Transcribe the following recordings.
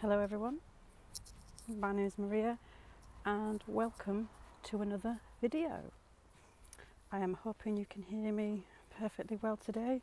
Hello everyone, my name is Maria and welcome to another video. I am hoping you can hear me perfectly well today.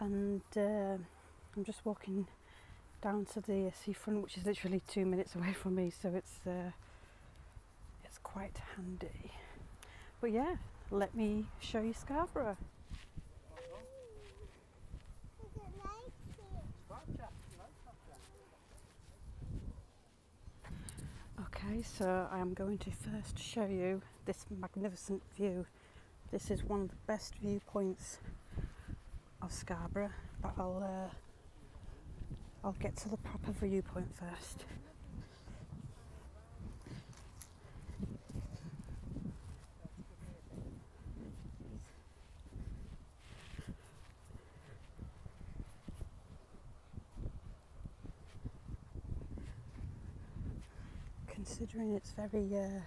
and uh, I'm just walking down to the seafront, which is literally two minutes away from me, so it's uh, it's quite handy. But yeah, let me show you Scarborough. Okay, so I'm going to first show you this magnificent view this is one of the best viewpoints of Scarborough but I'll uh, I'll get to the proper viewpoint first considering it's very uh,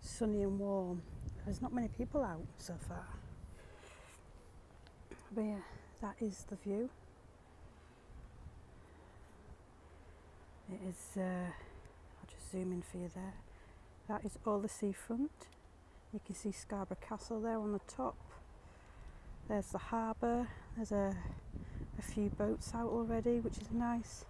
sunny and warm. There's not many people out so far. But yeah, that is the view. It is, uh, I'll just zoom in for you there. That is all the seafront. You can see Scarborough Castle there on the top. There's the harbour. There's a few boats out already, which is nice.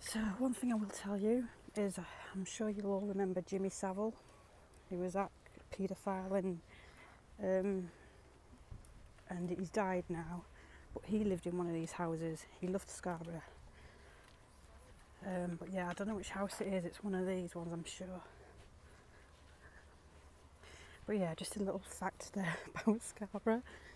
So, one thing I will tell you is uh, I'm sure you'll all remember Jimmy Savile, he was that paedophile and um, and he's died now. But he lived in one of these houses. He loved Scarborough. Um, but yeah, I don't know which house it is. It's one of these ones, I'm sure. But yeah, just a little fact there about Scarborough.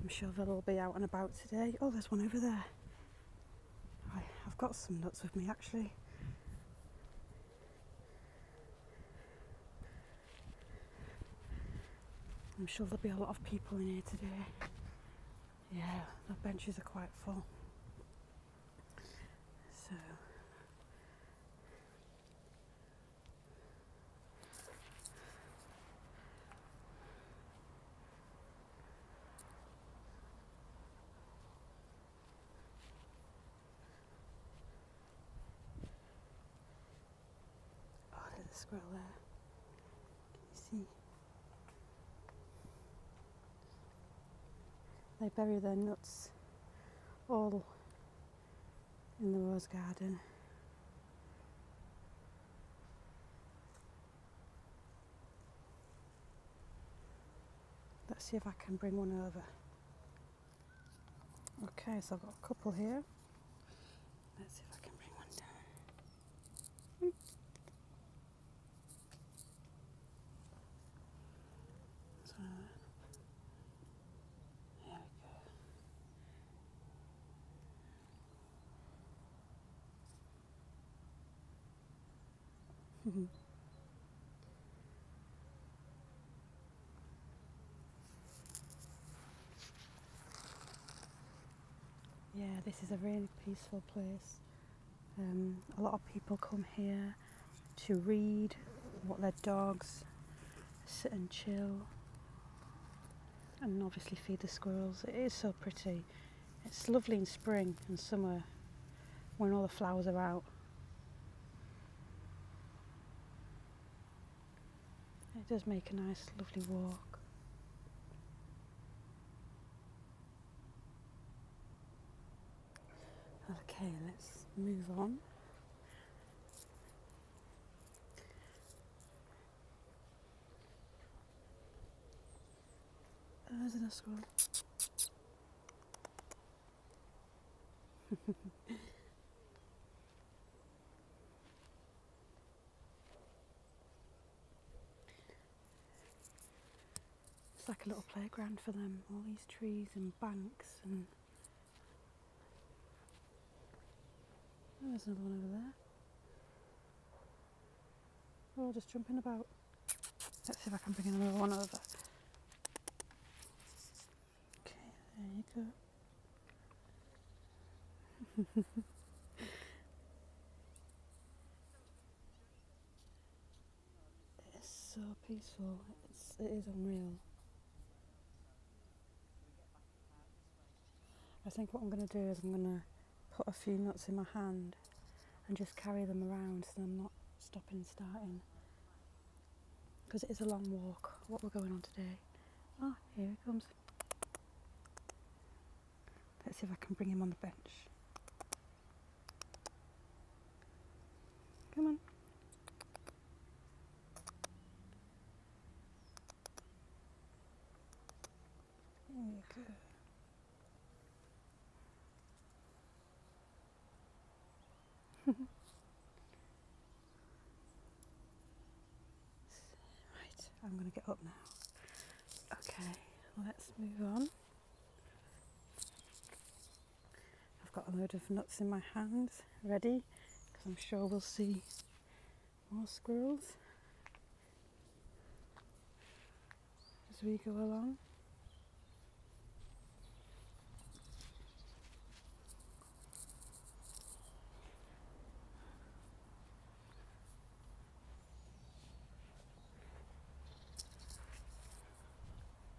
I'm sure they'll all be out and about today. Oh, there's one over there. I've got some nuts with me actually. I'm sure there'll be a lot of people in here today. Yeah, the benches are quite full. So Oh, there's a squirrel there. Can you see? They bury their nuts all in the rose garden. Let's see if I can bring one over. Okay, so I've got a couple here. Let's see if I can bring one down. Hmm. So, there we go. Yeah, this is a really peaceful place. Um, a lot of people come here to read, what their dogs, sit and chill, and obviously feed the squirrels. It is so pretty. It's lovely in spring and summer when all the flowers are out. It does make a nice, lovely walk. Okay, let's move on. There's another squirrel. It's like a little playground for them, all these trees and banks and oh, there's another one over there. They're all just jumping about. Let's see if I can bring another one over. Okay, there you go. It's so peaceful. It's, it is unreal. I think what I'm going to do is I'm going to put a few nuts in my hand and just carry them around so I'm not stopping starting because it is a long walk what we're going on today Ah, here he comes let's see if I can bring him on the bench Come on. Okay. right. I'm going to get up now. Okay, let's move on. I've got a load of nuts in my hands ready because I'm sure we'll see more squirrels as we go along.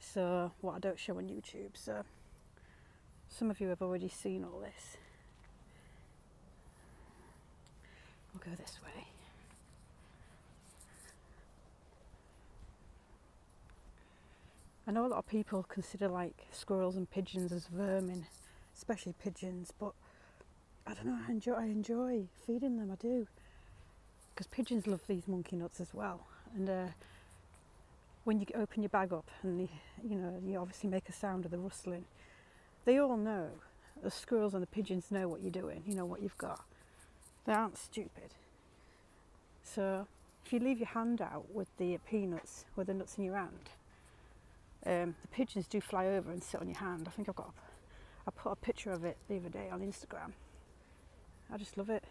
so what I don't show on YouTube so some of you have already seen all this we'll go this way I know a lot of people consider like squirrels and pigeons as vermin especially pigeons but I don't know I I enjoy feeding them I do because pigeons love these monkey nuts as well. And uh, when you open your bag up and you, know you obviously make a sound of the rustling, they all know. The squirrels and the pigeons know what you're doing. You know what you've got. They aren't stupid. So if you leave your hand out with the peanuts, with the nuts in your hand, um, the pigeons do fly over and sit on your hand. I think I've got. A, I put a picture of it the other day on Instagram I just love it.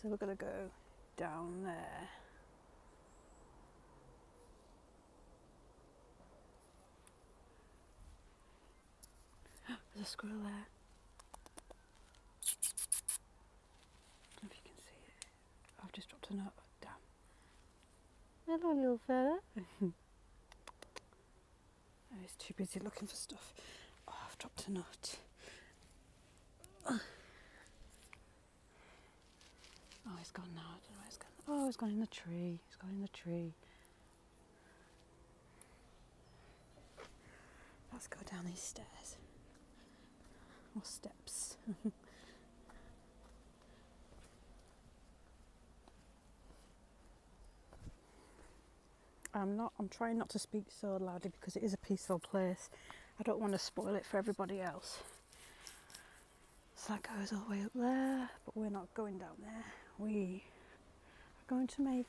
So we're going to go down there. There's a squirrel there. if you can see it. I've just dropped a nut. Damn. Hello, little fella. oh, he's too busy looking for stuff. Oh, I've dropped a nut. Oh, he's gone now. I don't know where he's gone. Oh, he's gone in the tree. He's gone in the tree. Let's go down these stairs or steps. I'm not I'm trying not to speak so loudly because it is a peaceful place. I don't want to spoil it for everybody else. So that goes all the way up there, but we're not going down there. We are going to make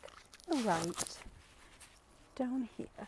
a right down here.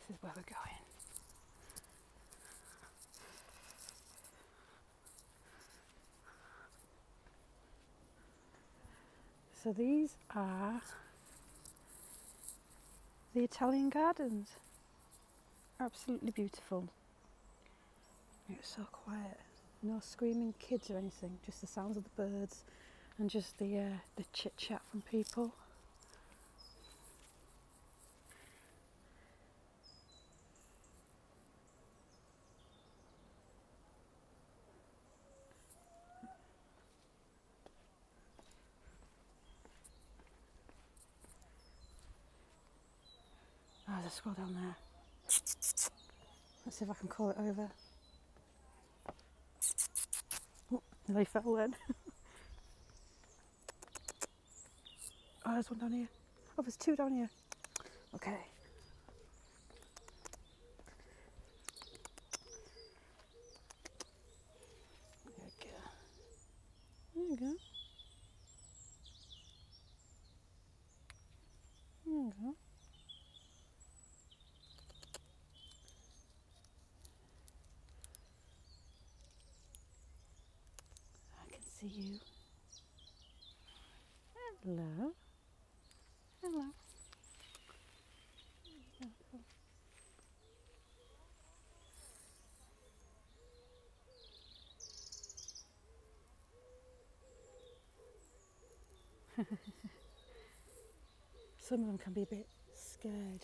This is where we're going. So these are the Italian gardens. Absolutely beautiful. It was so quiet. No screaming kids or anything, just the sounds of the birds and just the, uh, the chit chat from people. Oh, there's squirrel down there. Let's see if I can call it over. Oh, they fell then. oh, there's one down here. Oh, there's two down here. Okay. There you go. I can see you. Hello. Hello. Some of them can be a bit scared.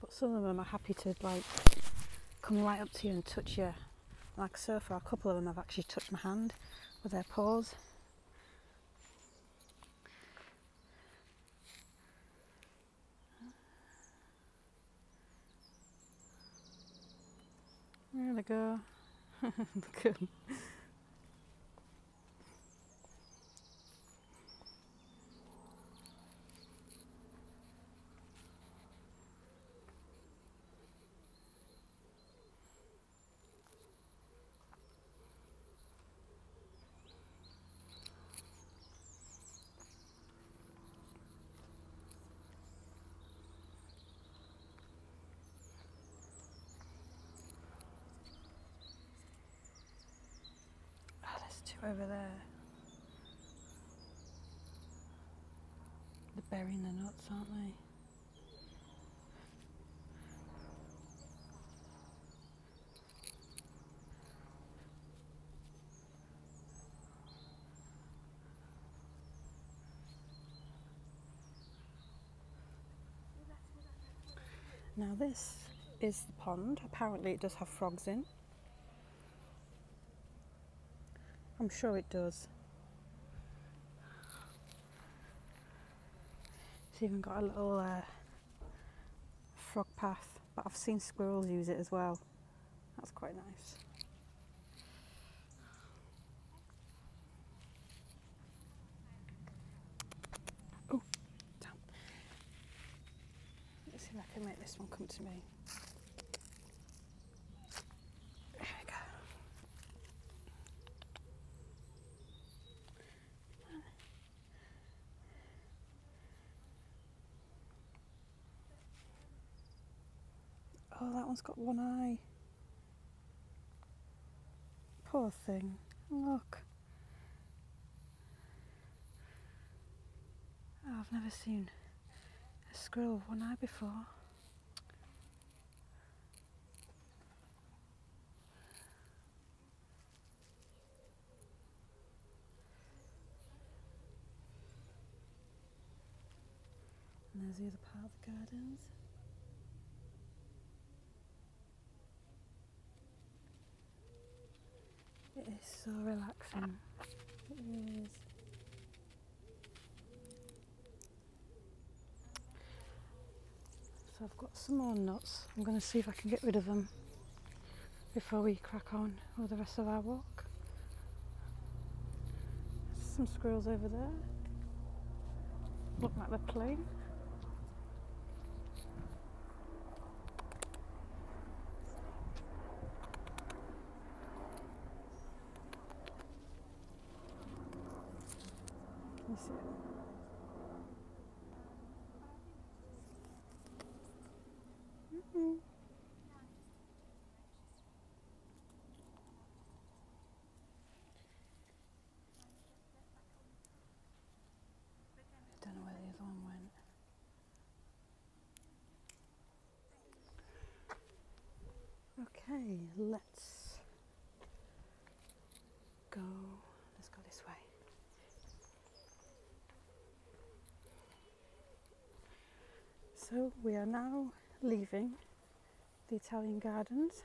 But some of them are happy to like come right up to you and touch you. Like so far, a couple of them have actually touched my hand with their paws. There they go. Look at Ah, there's two over there. They're burying the nuts, aren't they? Now this is the pond. Apparently it does have frogs in. I'm sure it does. It's even got a little uh, frog path, but I've seen squirrels use it as well. That's quite nice. Oh, damn. Let's see if I can make this one come to me. There we go. Oh, that one's got one eye. Poor thing. Look. Oh, I've never seen a squirrel with one eye before. And there's the other part of the gardens. It is so relaxing. It So I've got some more nuts. I'm going to see if I can get rid of them before we crack on for the rest of our walk some squirrels over there. looking at the plane. playing. see it? I don't know where the other one went. Okay, let's go. Let's go this way. So we are now leaving the Italian gardens.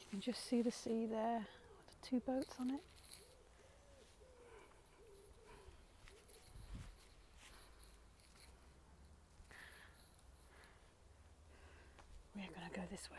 You can just see the sea there, the two boats on it. We're going to go this way.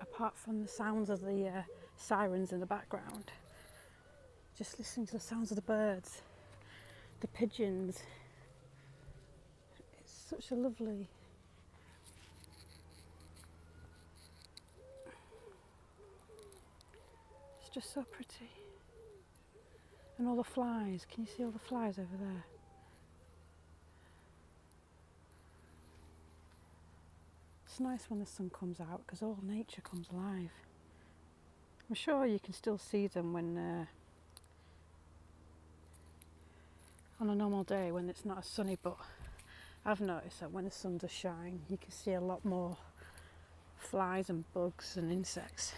apart from the sounds of the uh, sirens in the background, just listening to the sounds of the birds, the pigeons. It's such a lovely It's just so pretty. And all the flies, can you see all the flies over there? It's nice when the sun comes out because all nature comes alive. I'm sure you can still see them when uh, on a normal day when it's not as sunny, but I've noticed that when the sun does shine, you can see a lot more flies and bugs and insects.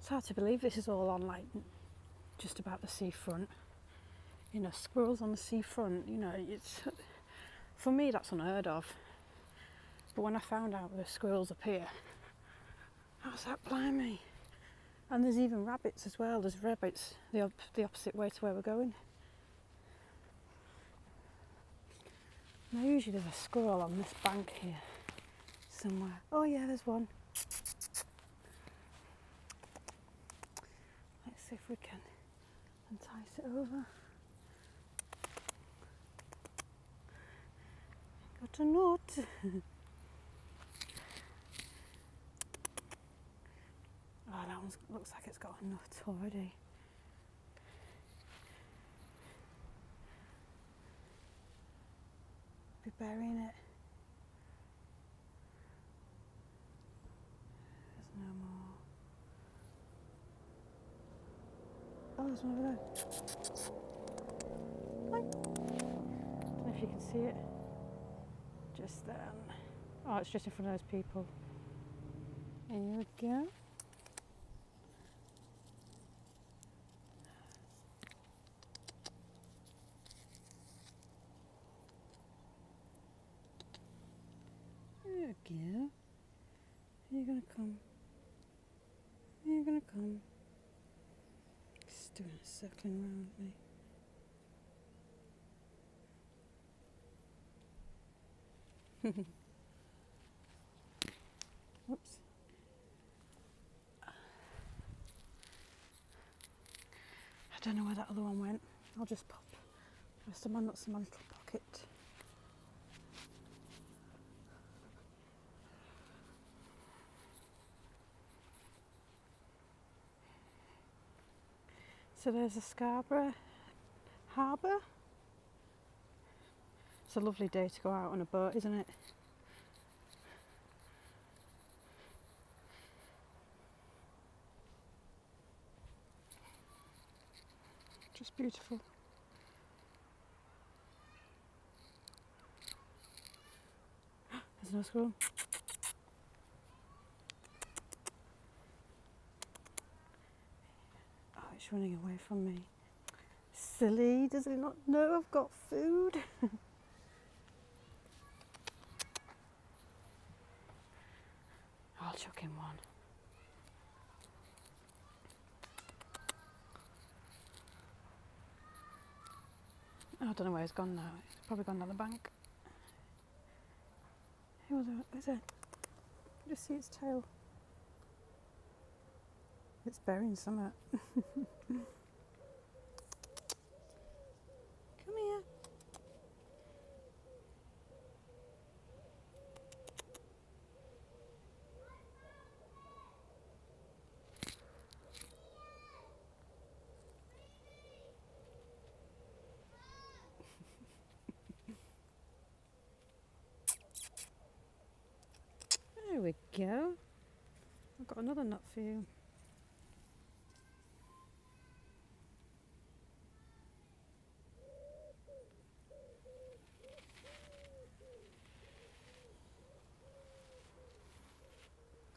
It's hard to believe this is all on like just about the seafront. You know, squirrels on the seafront, you know, it's for me that's unheard of. But when I found out the squirrels up here, I was blimey. And there's even rabbits as well. There's rabbits the, the opposite way to where we're going. Now usually there's a squirrel on this bank here somewhere. Oh yeah, there's one. Let's see if we can entice it over. Got a nut. oh, that one looks like it's got a nut already. Be burying it. There's no more. Oh, there's one over there. if you can see it. Just then. Um, oh, it's just in front of those people. There we go. There you go. you gonna come. Are you gonna come. Just doing a circling around me. Whoops. I don't know where that other one went. I'll just pop the rest of my nuts in my little pocket. So there's a Scarborough Harbour it's a lovely day to go out on a boat, isn't it? Just beautiful. There's no squirrel. Oh, it's running away from me. Silly, does it not know I've got food? I'll chuck him one. I don't know where he has gone now. It's probably gone down the bank. Who was it? Is Just see his tail. It's bearing something. Come here. There we go. I've got another nut for you.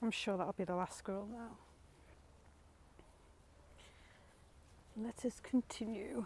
I'm sure that'll be the last scroll now. Let us continue.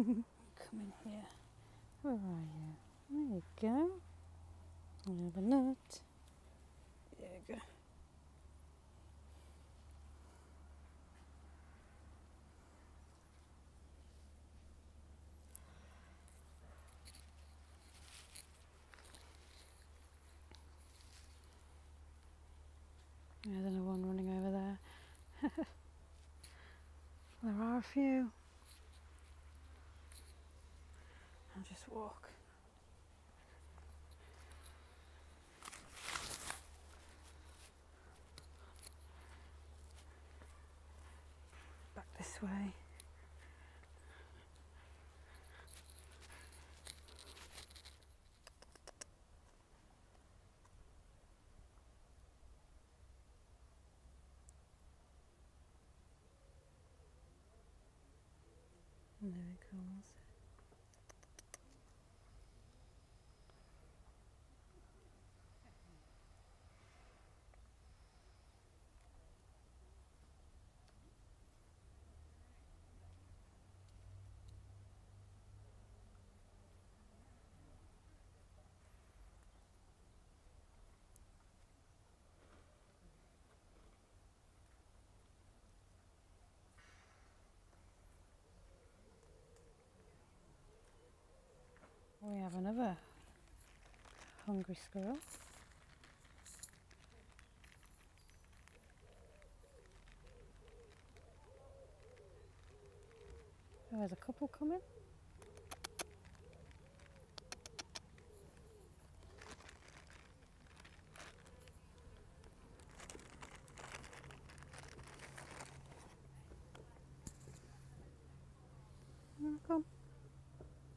Come in here. Where are you? There you go. Have a look. There you go. There's another one running over there. there are a few. I'll just walk. Back this way. And there we have another hungry squirrel. Oh, there's a couple coming. Come.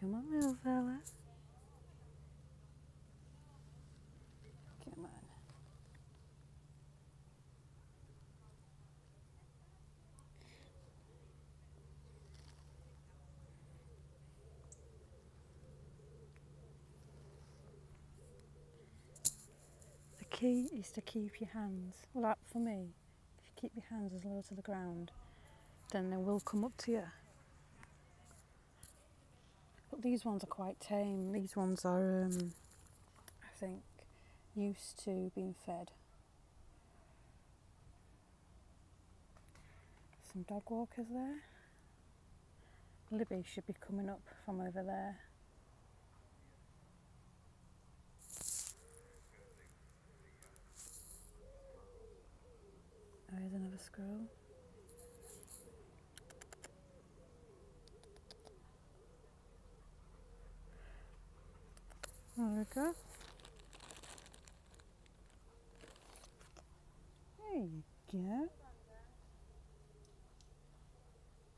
Come on, little fella. Come on. The key is to keep your hands, well, that for me, if you keep your hands as low to the ground, then they will come up to you. But these ones are quite tame. These ones are, um, I think, used to being fed. Some dog walkers there. Libby should be coming up from over there. Oh, there's another scroll. There we go. There you go.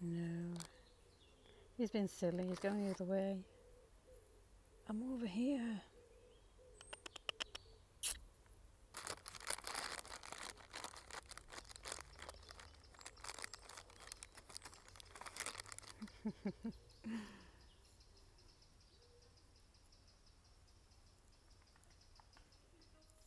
No. He's been silly. He's going the other way. I'm over here.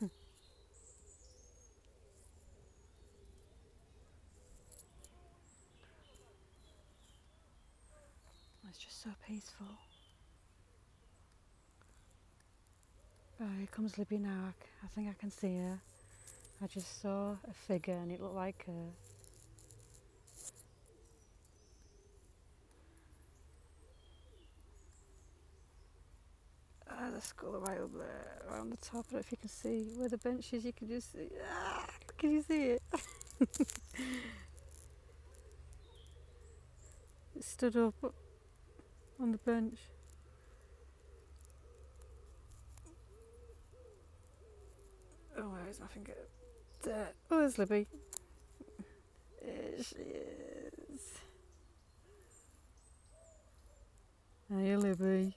Hmm. It's just so peaceful. Oh, here comes Libby now. I think I can see her. I just saw a figure and it looked like a Ah, the skull right up there, right on the top. I don't know if you can see where the bench is. You can just see. Ah, can you see it? it stood up on the bench. Oh, where is my finger? There. Oh, there's Libby. There she is. Hey, Libby.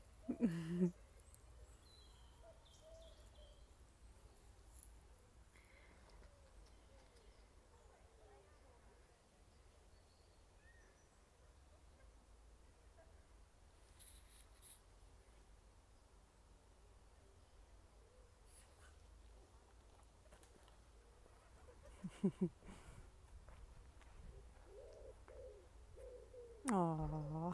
Aww. I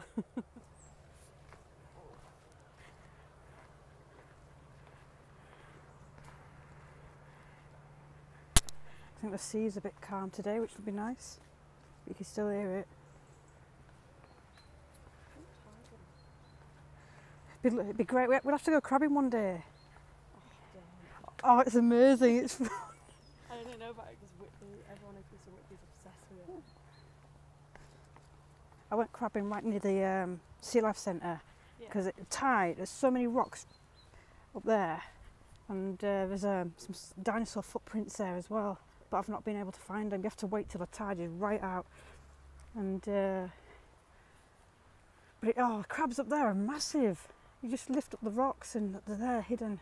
think the sea is a bit calm today, which would be nice. You can still hear it. It'd be, great. We'll have to go crabbing one day. Oh, it's amazing. It's I don't know about it because Whitby, everyone who comes to Whitby's obsessed with it. I went crabbing right near the um, Sea Life Centre because yeah. it's tide. There's so many rocks up there, and uh, there's um, some dinosaur footprints there as well but I've not been able to find them. You have to wait till the tide is right out. And uh, but oh, crabs up there are massive. You just lift up the rocks and they're there hidden.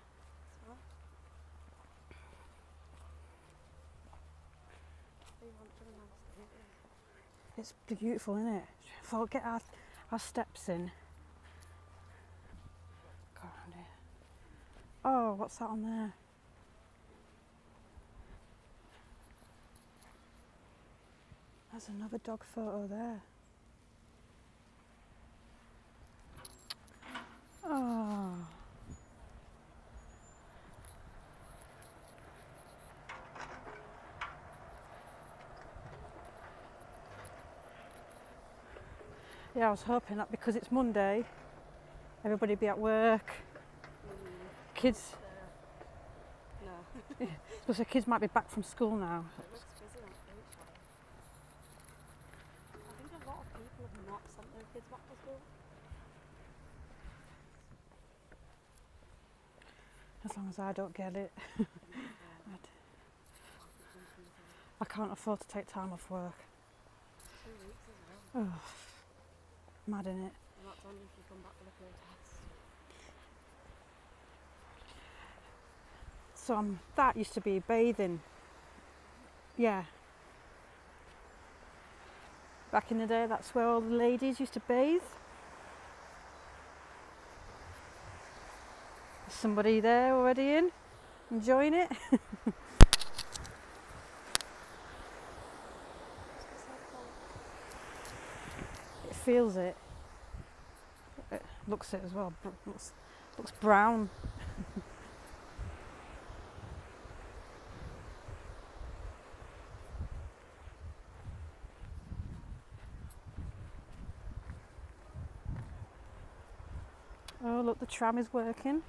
It's beautiful, isn't it? If i get our, our steps in. Oh, what's that on there? There's another dog photo there. Oh. Yeah, I was hoping that because it's Monday, everybody be at work. Kids. No. Because the kids might be back from school now. As long as I don't get it. I can't afford to take time off work. Oh, mad in it. So um, that used to be bathing. Yeah. Back in the day, that's where all the ladies used to bathe. There's somebody there already in. Enjoying it? it feels it. It looks it as well. Looks, brown. Oh, look, the tram is working.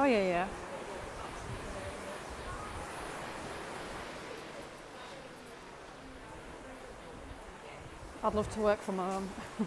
Oh, yeah, yeah. I'd love to work from home.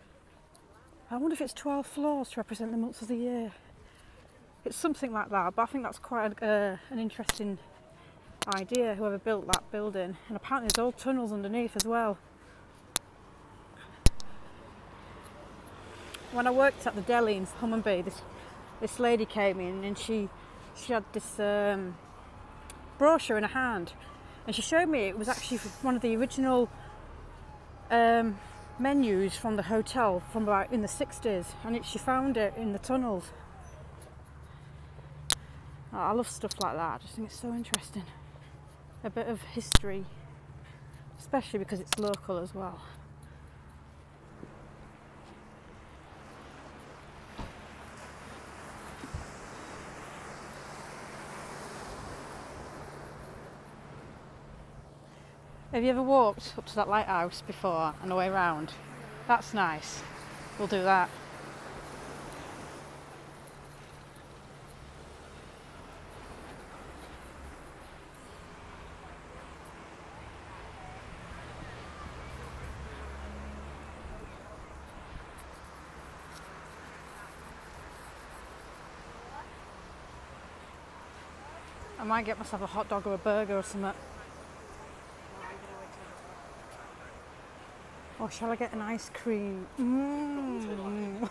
I wonder if it's 12 floors to represent the months of the year. It's something like that, but I think that's quite an uh, interesting idea, whoever built that building. And apparently there's old tunnels underneath as well. When I worked at the deli in Hummonby, this, this lady came in and she, she had this um, brochure in her hand and she showed me it was actually one of the original um, menus from the hotel from about in the 60s and she found it in the tunnels. I love stuff like that, I just think it's so interesting. A bit of history, especially because it's local as well. Have you ever walked up to that lighthouse before on the way round? That's nice. We'll do that. I might get myself a hot dog or a burger or something. Or shall I get an ice cream? Mm.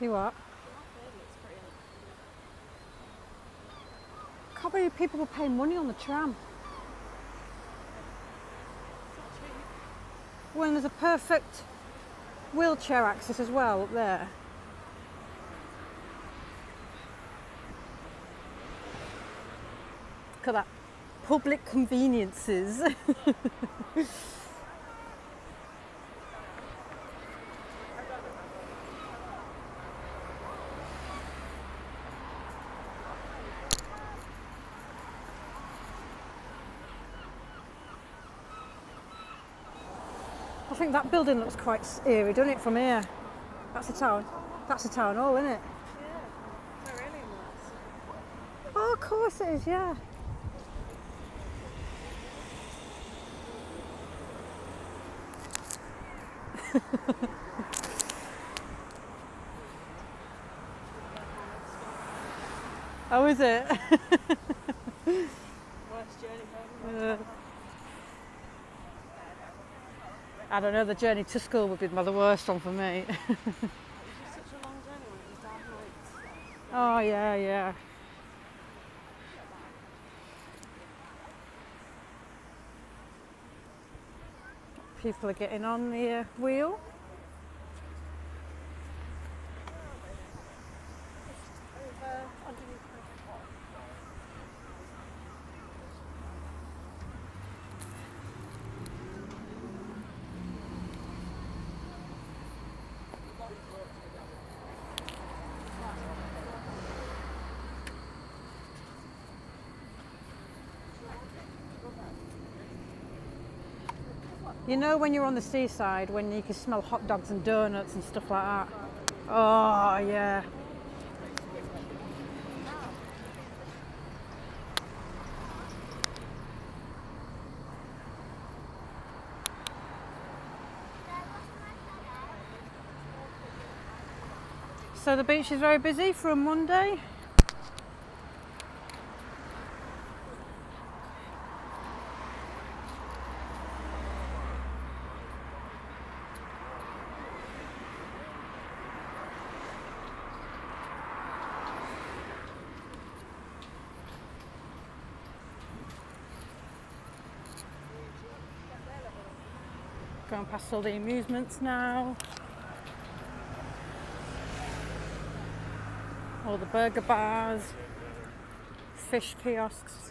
You what? A couple of people were paying money on the tram. When there's a perfect wheelchair access as well up there. Look at that. Public conveniences. I think that building looks quite eerie, doesn't it, from here? That's the town. That's the town hall, isn't it? Oh, of course it is, yeah. How is it? Worst journey home. I don't know, the journey to school would be the worst one for me. oh, yeah, yeah. People are getting on the uh, wheel. You know when you're on the seaside when you can smell hot dogs and donuts and stuff like that? Oh yeah. So the beach is very busy from Monday. Going past all the amusements now. All the burger bars, fish kiosks.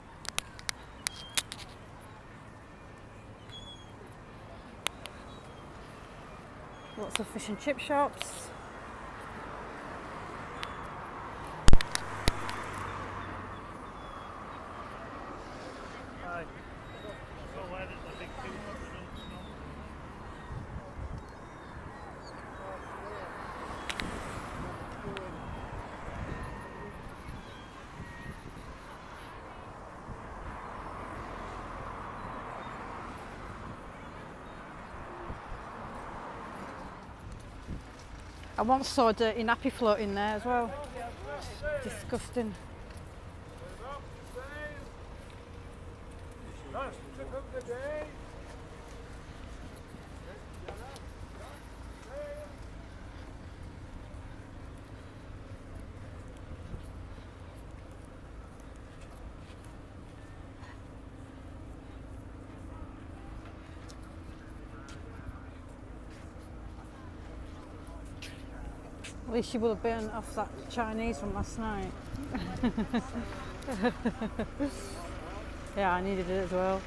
Lots of fish and chip shops. I once saw a dirty nappy in there as well. disgusting. At least she would have burned off that Chinese from last night. yeah, I needed it as well.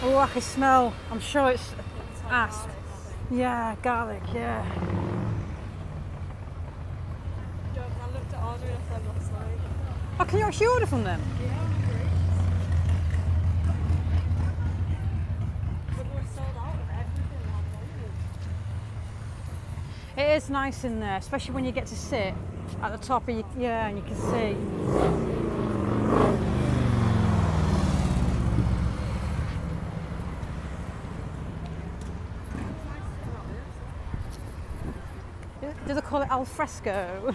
Oh, I can smell. I'm sure it's, it's ass. Garlic, yeah, garlic, yeah. I looked at Oh, can you actually order van hem. Yeah, But we're sold out of everything It is nice in there, especially when you get to sit at the top of your, yeah, and you can see. Do they call it al fresco?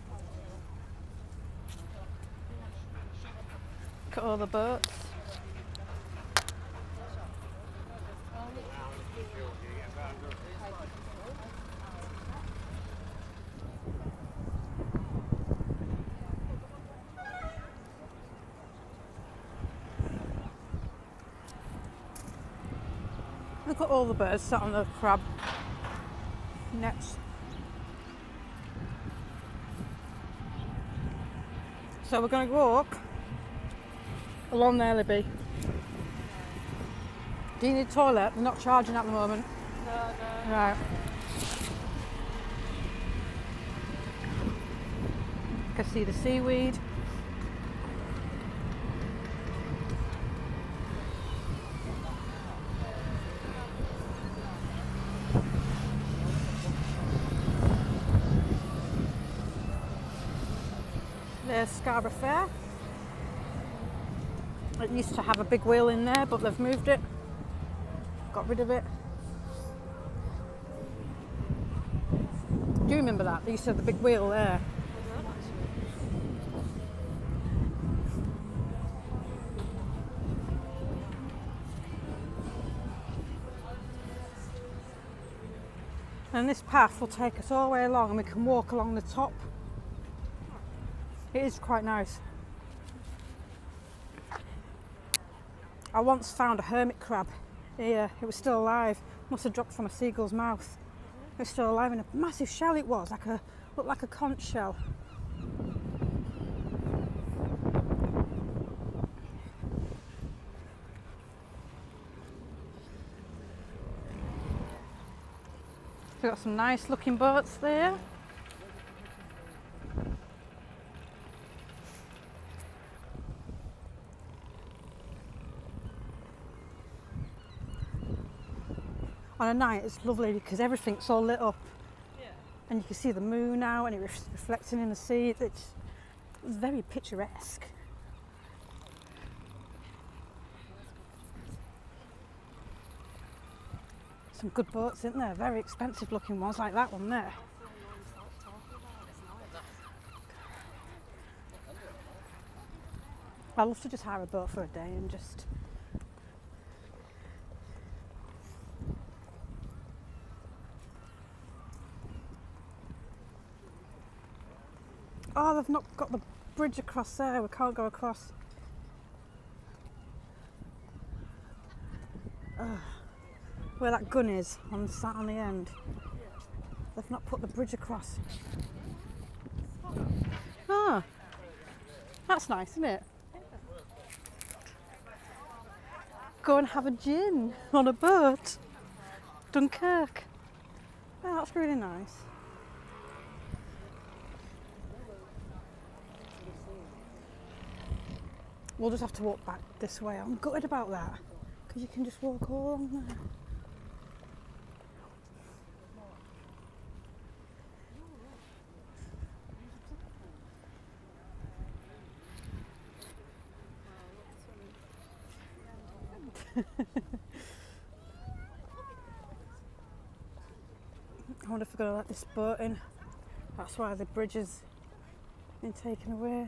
Look at all the boats. Look at all the birds sat on the crab next so we're going to walk along there, Libby. Do you need a toilet? They're not charging at the moment. Right. I can see the seaweed. There's Scarborough Fair. It used to have a big wheel in there, but they've moved it, got rid of it. Do you remember that? They used to have the big wheel there. And this path will take us all the way along and we can walk along the top. It is quite nice. I once found a hermit crab here. It was still alive. Must have dropped from a seagull's mouth. It was still alive in a massive shell it was, like a looked like a conch shell. We've got some nice looking boats there. On a night it's lovely because everything's all lit up and you can see the moon now and it's reflecting in the sea. It's very picturesque. Some good boats isn't there, very expensive looking ones like that one there. I would love to just hire a boat for a day and just Oh, they've not got the bridge across there. We can't go across. Where that gun is on sat on the end. They've not put the bridge across. Ah, that's nice, isn't it? Go and have a gin on a boat. Dunkirk. that's really nice. We'll just have to walk back this way. I'm gutted about that because you can just walk all along there. I wonder if we're going to let this boat in. That's why the bridge has been taken away.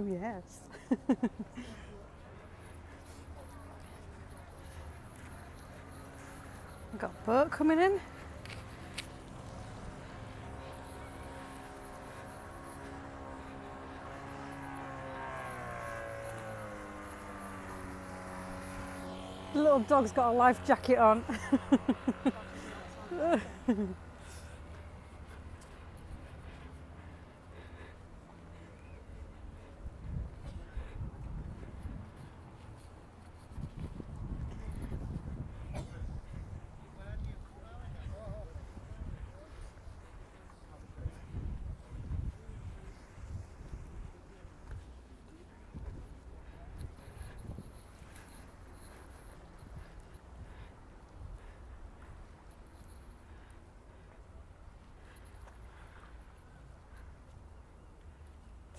Oh, yes. We've got a boat coming in. The little dog's got a life jacket on.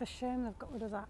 It's a shame they've got rid of that.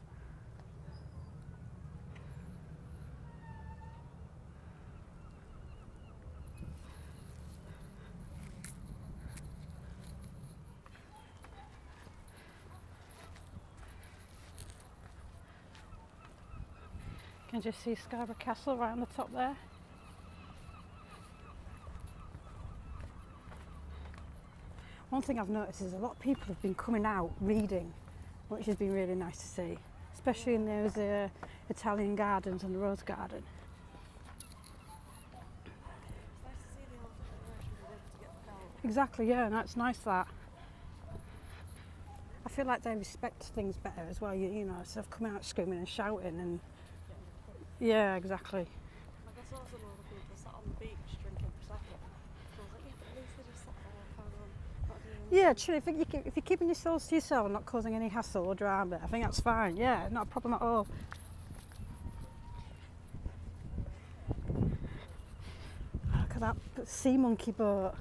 Can you see Scarborough Castle right on the top there. One thing I've noticed is a lot of people have been coming out reading, which has been really nice to see, especially in those uh, Italian gardens and the rose garden. Exactly, yeah, and that's nice that. I feel like they respect things better as well, you, you know, instead of coming out screaming and shouting and... Yeah, exactly. I guess also a lot of people sat on the beach drinking Prosecco. Yeah, true. If you if you're keeping yourselves to yourself and not causing any hassle or drama, I think that's fine. Yeah, not a problem at all. Look at that sea monkey boat.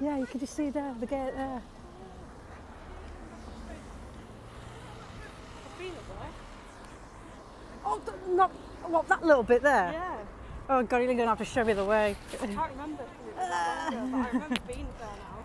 Yeah, you can just see there, the gate there. I've been there. Oh, not what that little bit there. Yeah. Oh God, you're gonna have to show me the way. I can't remember. I remember being there now.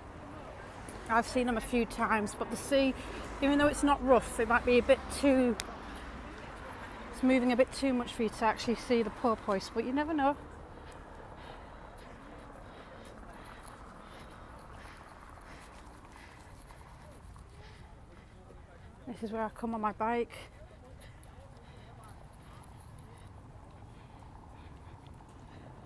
I've seen them a few times, but the sea, even though it's not rough, it might be a bit too, it's moving a bit too much for you to actually see the porpoise, but you never know. This is where I come on my bike.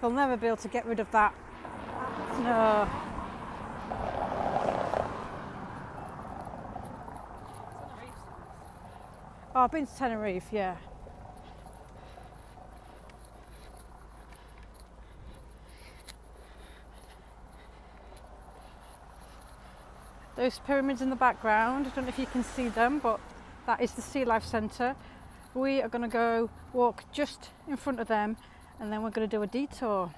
They'll never be able to get rid of that. No. Oh, I've been to Tenerife, yeah. Those pyramids in the background, I don't know if you can see them, but that is the Sea Life Centre. We are going to go walk just in front of them and then we're going to do a detour.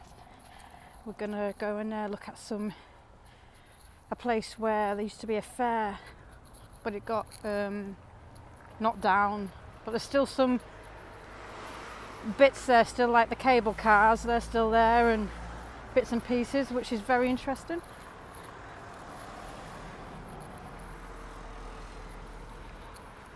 We're going to go and uh, look at some a place where there used to be a fair but it got um, knocked down but there's still some bits there still like the cable cars they're still there and bits and pieces which is very interesting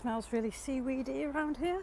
Smells really seaweedy around here.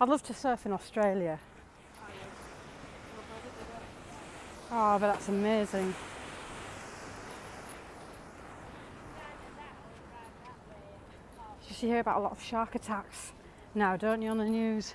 I'd love to surf in Australia. Oh, but that's amazing. You hear about a lot of shark attacks now, don't you, on the news?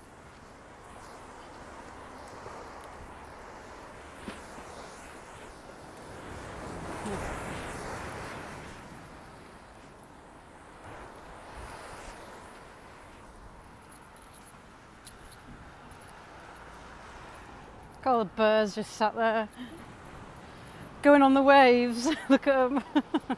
Look all the birds just sat there going on the waves. Look at them.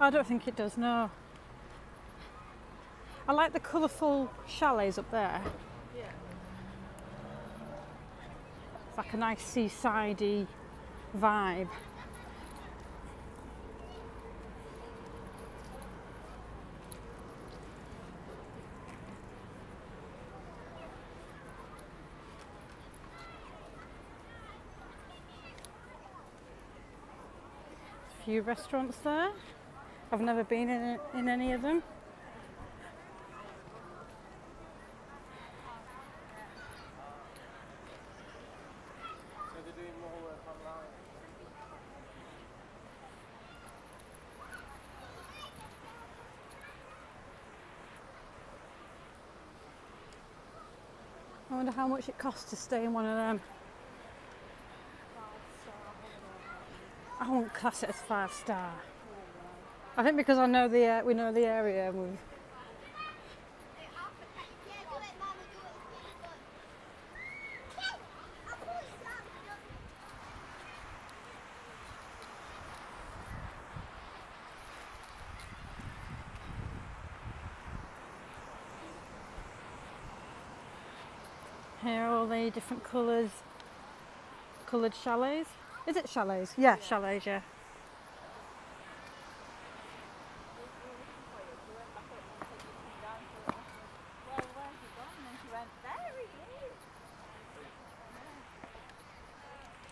I don't think it does, no. I like the colourful chalets up there. It's like a nice seasidey vibe. A few restaurants there. I've never been in, in any of them. I wonder how much it costs to stay in one of them. I won't class it as five star. I think because I know the uh, we know the area and we here are all the different colours, coloured chalets. Is it chalets? Yeah, chalets, yeah.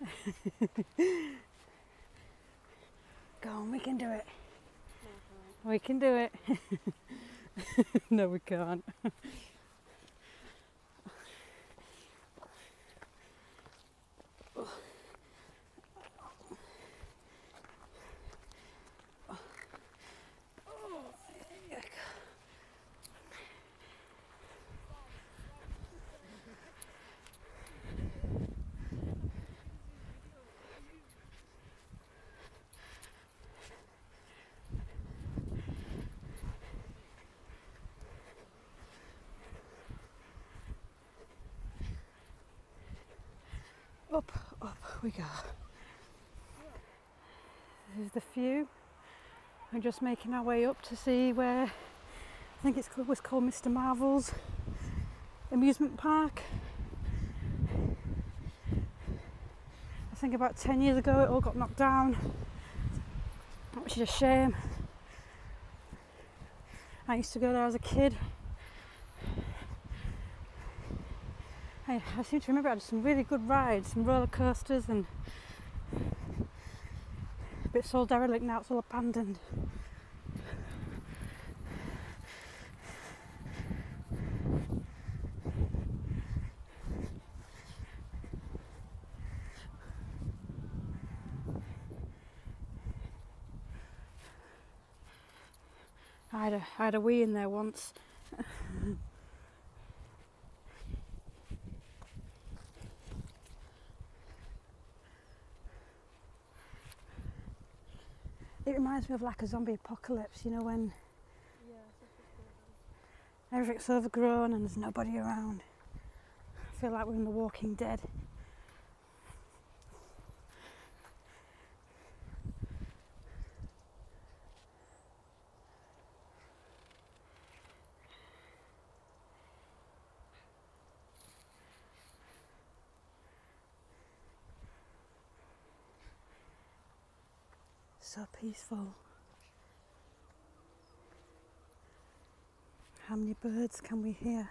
Go on, we can do it. We can do it. no, we can't. Oh, up, up we go. This is the view we're just making our way up to see where I think it's called, was called Mr. Marvel's amusement park. I think about 10 years ago it all got knocked down, which is a shame. I used to go there as a kid. I, I seem to remember I had some really good rides, some roller coasters and but it's all derelict now, it's all abandoned. I had a, I had a wee in there once. It reminds me of like a zombie apocalypse, you know, when everything's overgrown and there's nobody around. I feel like we're in The Walking Dead. So peaceful. How many birds can we hear?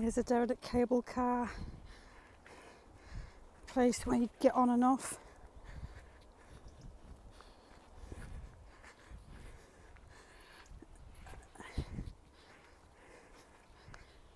Here's a derelict cable car place where you get on and off.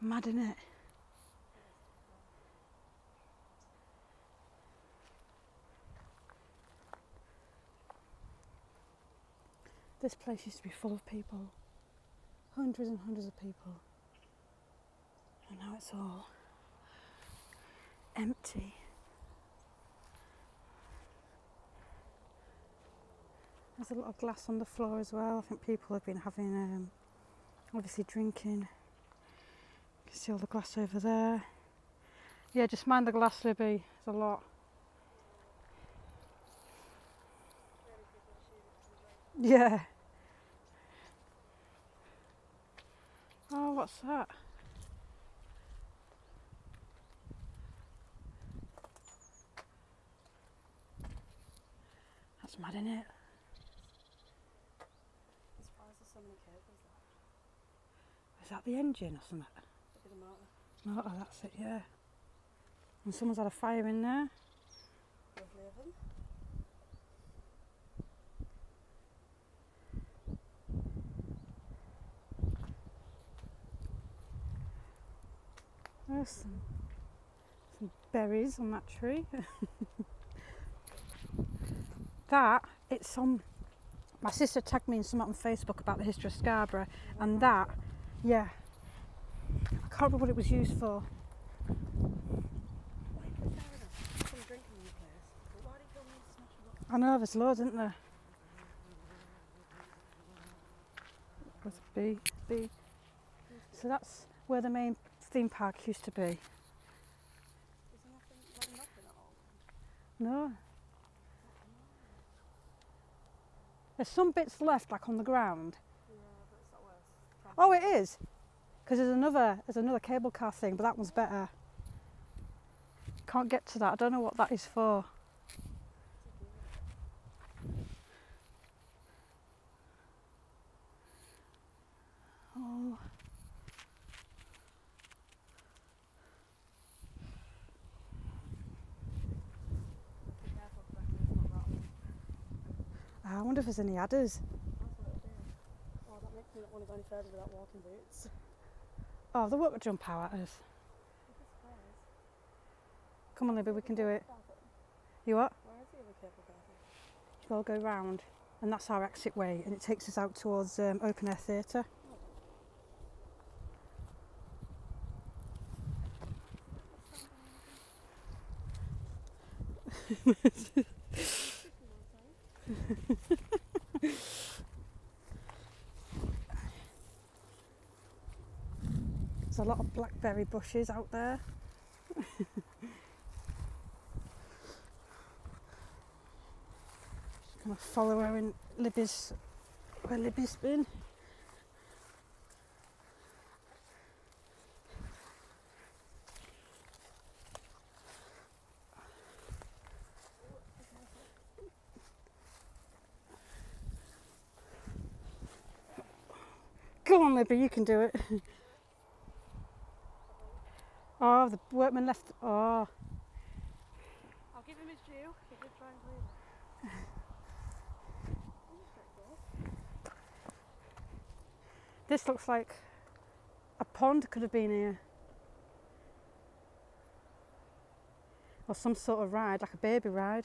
Mad, in it? This place used to be full of people, hundreds and hundreds of people, and now it's all empty. There's a lot of glass on the floor as well. I think people have been having, um, obviously, drinking. You can see all the glass over there. Yeah, just mind the glass, Libby. There's a lot. Yeah. Oh, what's that? That's mad, isn't it? there's so many cables that the engine or something? Maybe the that's it, yeah. And someone's had a fire in there. There's some, berries on that tree. that, it's on, my sister tagged me in something on Facebook about the history of Scarborough and mm-hmm. that, yeah, I can't remember what it was used for. I know, there's loads, isn't there? Was B? B. So that's where the main theme park used to be. No. There's some bits left, like on the ground. oh, it is, because there's another there's another cable car thing, but that one's better. Can't get to that. I don't know what that is for. Oh. I wonder if there's any adders. Oh, that makes me not want to go any further without walking boots. Oh, the work would jump out at us. Come on, Libby, we can do it. You what? We'll go round, and that's our exit way, and it takes us out towards um, Open Air Theatre. There's a lot of blackberry bushes out there. Just gonna follow her Libby's where Libby's been. Go on, Libby, you can do it. oh, the workman left. Oh. This looks like a pond could have been here. Or some sort of ride, like a baby ride.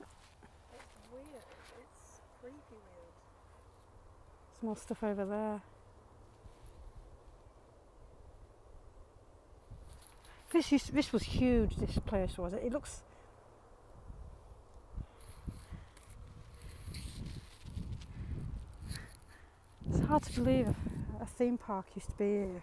It's weird. It's creepy weird. There's more stuff over there. This is, this was huge. This place was. it looks. It's hard to believe a theme park used to be here.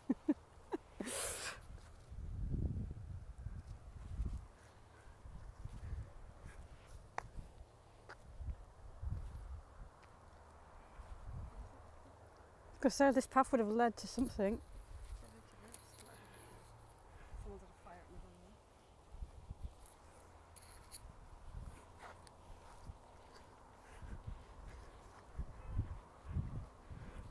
Because so this path would have led to something.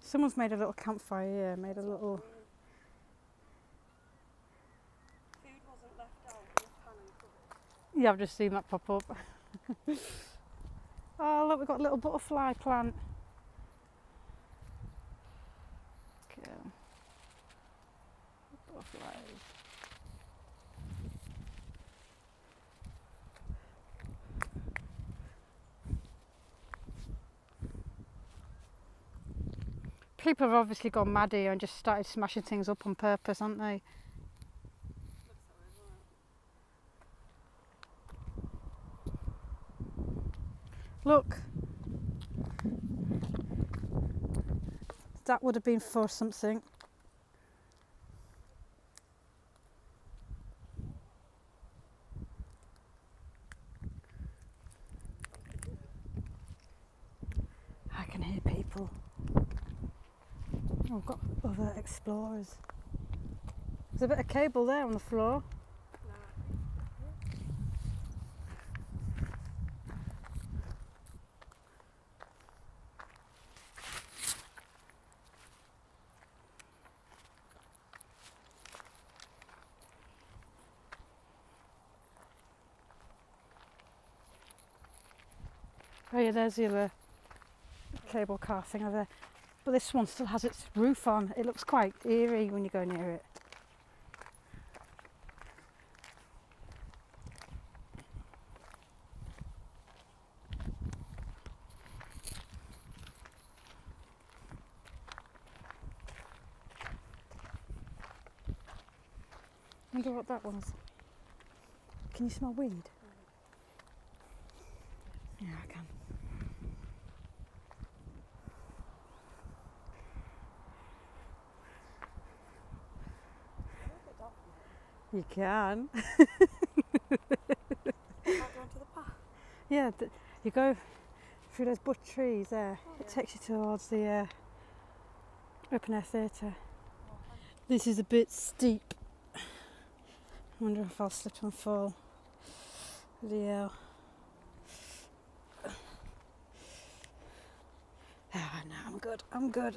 Someone's made a little campfire here, made a little... Yeah, I've just seen that pop up. oh, look, we've got a little butterfly plant. Okay. People have obviously gone mad here and just started smashing things up on purpose, have not they? Look. That would have been for something. I can hear people. Oh, I've got other explorers. There's a bit of cable there on the floor. Oh yeah, there's the other uh, cable car thing over there. But this one still has its roof on. It looks quite eerie when you go near it wonder what that was. Can you smell weed? Yeah, I can. You can. yeah, you go through those bush trees there. Oh, it takes you towards the uh, open air theatre. this is a bit steep. I wonder if I'll slip and fall. The uh, Ah, oh, no, I'm good. I'm good.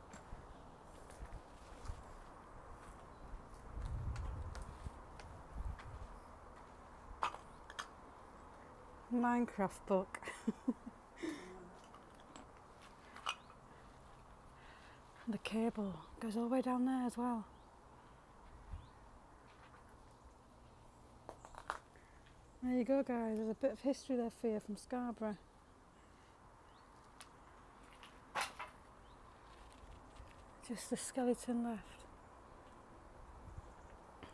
Minecraft book. the cable goes all the way down there as well. There you go guys, there's a bit of history there for you from Scarborough. Just the skeleton left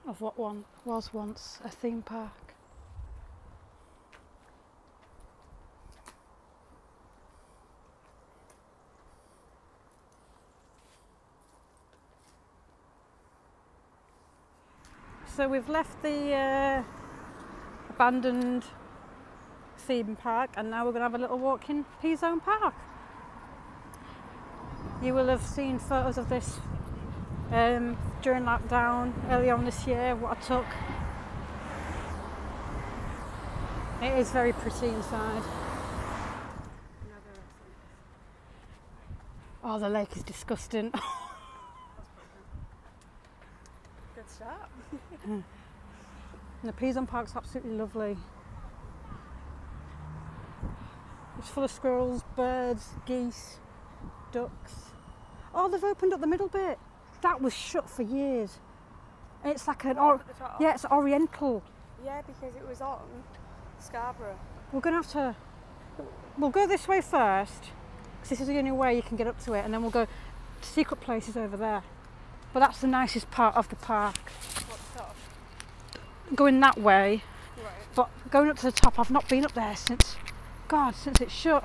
of what one was once a theme park. So we've left the uh, abandoned theme park and now we're going to have a little walk in P-Zone Park. You will have seen photos of this um, during lockdown early on this year, what a took. It is very pretty inside. Oh, the lake is disgusting. Good start. the Pisan Park's absolutely lovely. It's full of squirrels, birds, geese, ducks. Oh, they've opened up the middle bit. That was shut for years. it's like an or yeah, it's oriental. Yeah, because it was on Scarborough. We're gonna have to We'll go this way first, because this is the only way you can get up to it, and then we'll go to secret places over there. But that's the nicest part of the park. Going that way, but going up to the top, I've not been up there since, God, since it's shut.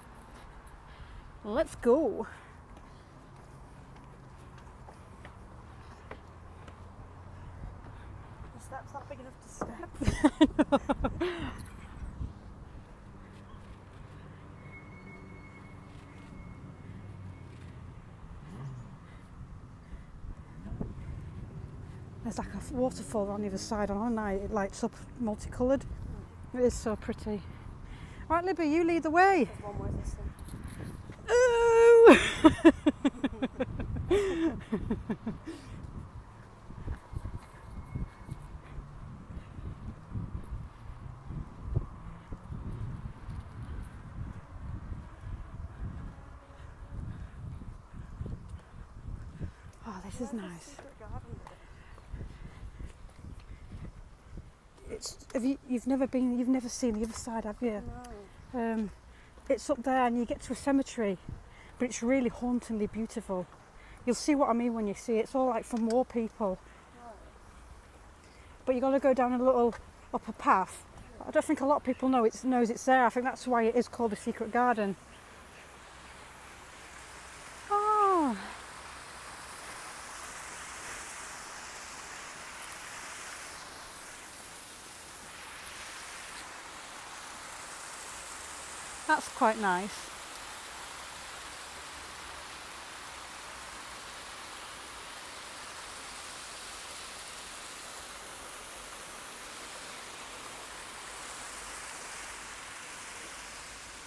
Let's go. There's like a waterfall on the other side, and on night it lights up multicoloured. It is so pretty. Right, Libby, you lead the way. Oh, this is nice. It's, have you, you've never been, you've never seen the other side, have you? Um, it's up there and you get to a cemetery, but it's really hauntingly beautiful. You'll see what I mean when you see it. It's all like for war people. But you've got to go down a little upper path. I don't think a lot of people know it knows it's there. I think that's why it is called the secret garden. Oh. That's quite nice.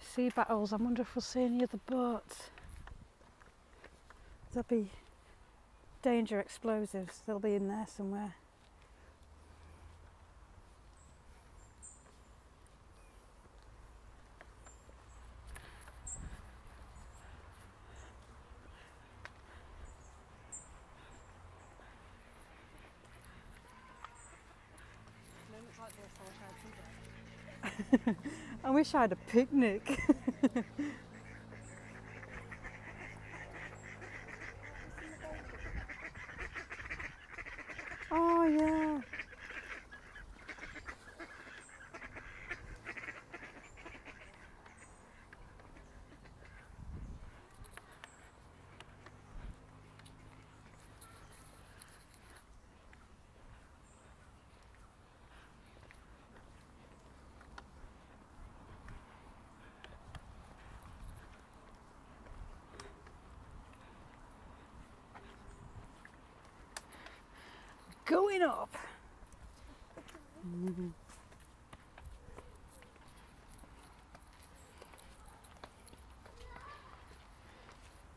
Sea battles. I wonder if we'll see any other boats. There'll be danger explosives. They'll be in there somewhere. I wish I had I wish I had a picnic. oh yeah. Going up.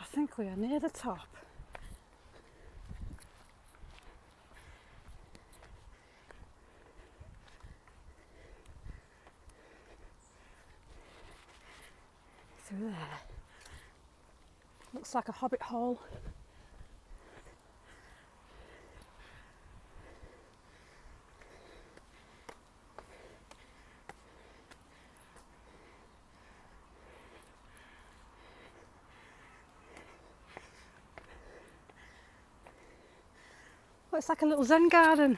I think we are near the top. Through there. Looks like a hobbit hole. Oh, it's like a little zen garden.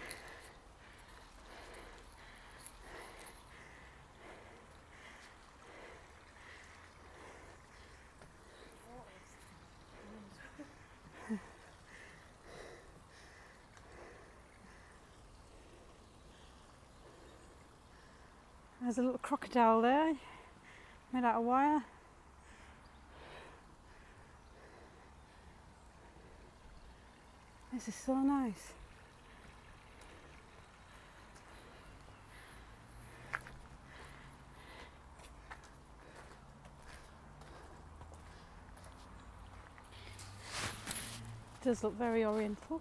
There's a little crocodile there, made out of wire. This is so nice. does look very oriental.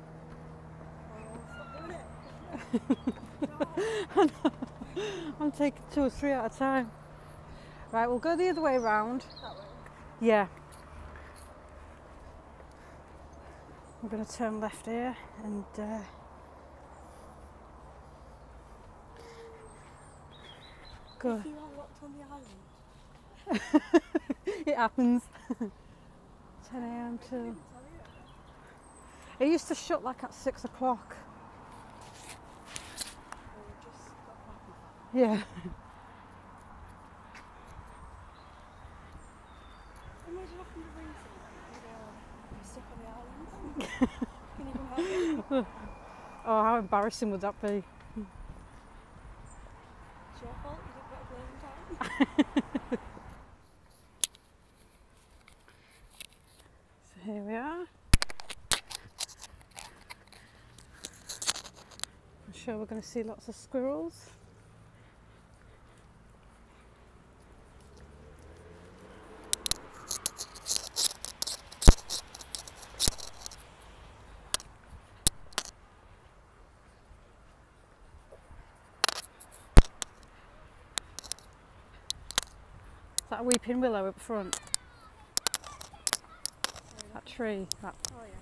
I'm taking two or three at a time. Right, we'll go the other way round. Yeah. We're going to turn left here and uh, go. it happens. 10 a.m. to. It used to shut like at six o'clock. Yeah. oh, how embarrassing would that be? It's your fault you didn't get a time. So here we are. I'm sure we're going to see lots of squirrels. That weeping willow up front. That tree. That. Oh, yeah.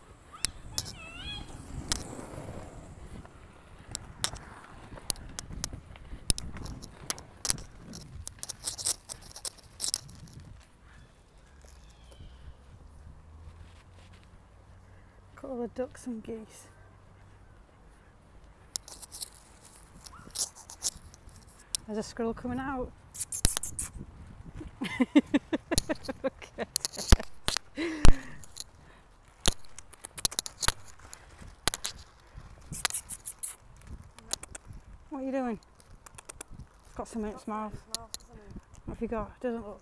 all the ducks and geese. There's a squirrel coming out. what are you doing? It's got something in its mouth. What have you got? It doesn't look.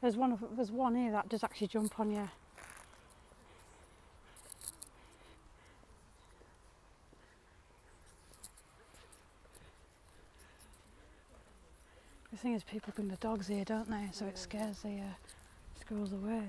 There's one of there's one here that does actually jump on you. The thing is, people bring the dogs here, don't they? So it scares the uh, squirrels away.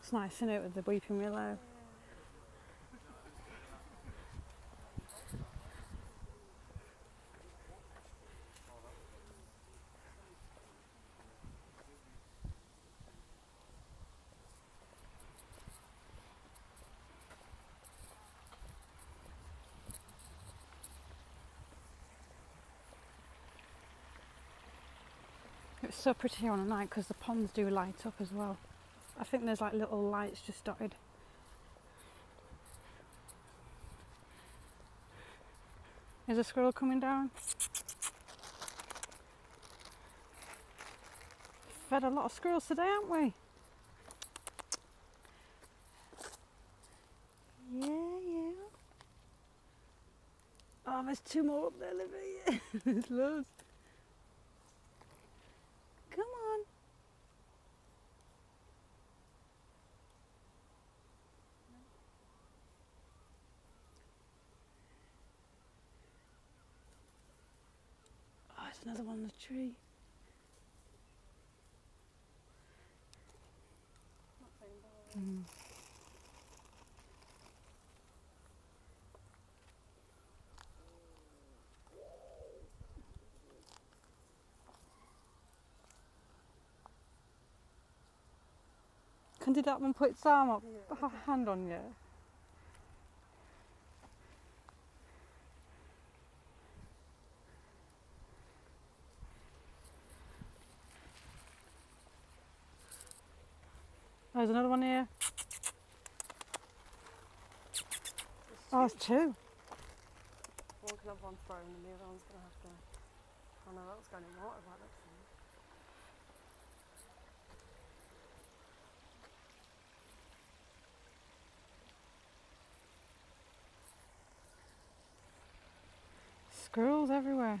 It's nice, isn't it, with the weeping willow? It's so pretty here on a night because the ponds do light up as well. I think there's like little lights just dotted. Is a squirrel coming down? Fed a lot of squirrels today, haven't we? Yeah, yeah. Oh, there's two more up there, Livy. It's lost. Come on. Oh, there's another one on the tree. Can Can did that one put your arm up, hand on you? there's another one here. Oh, two. One can have one thrown and the other one's going to have to... Oh no, that was going in water right next to Squirrels everywhere.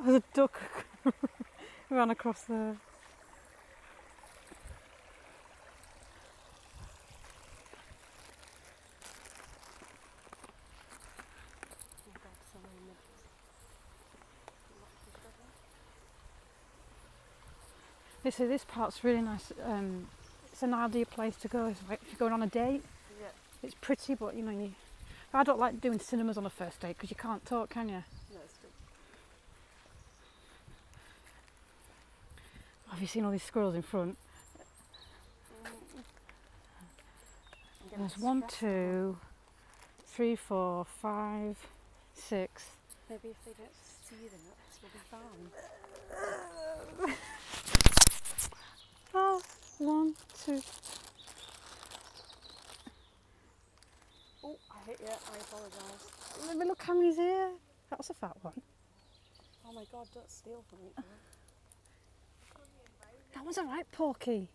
Oh, the duck ran across the. They this part's really nice. Um, it's an ideal place to go if you're going on a date. It's pretty, but you know, I don't like doing cinemas on a first date because you can't talk, can you? Have you seen all these squirrels in front? Mm. There's one, two, three, four, five, six, Maybe if they don't see them, it'll be fine. oh, one, two. Oh, I hit you. I apologise. Let me look how many's here. That was a fat one. Oh my god, don't steal from me. That one's all right, porky.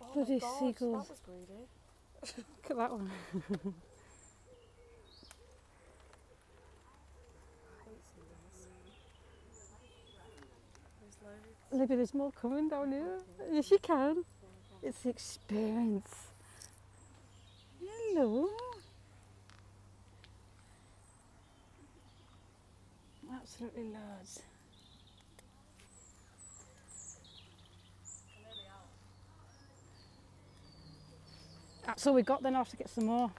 Oh Bloody seagulls. Look at that one. Libby, there's more coming down here. If you can. It's the experience. Hello. Absolutely large. That's ah, all we got then, I'll have to get some more.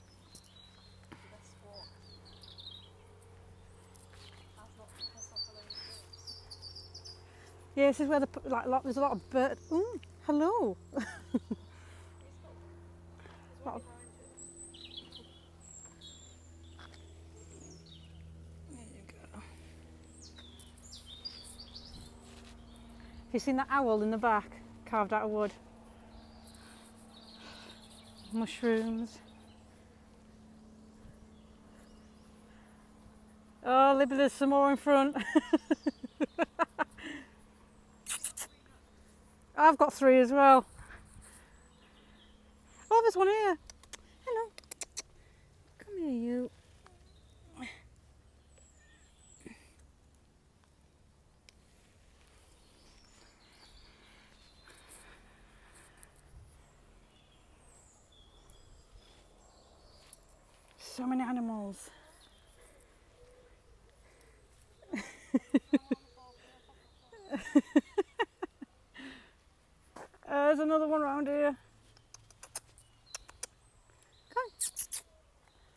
Yeah, this is where the, like, there's a lot of bird. hello. There you go. Have you seen that owl in the back, carved out of wood? Mushrooms. Oh, maybe there's some more in front. I've got three as well. Oh, there's one here. Come here, you so many animals. Uh, there's another one around here. Come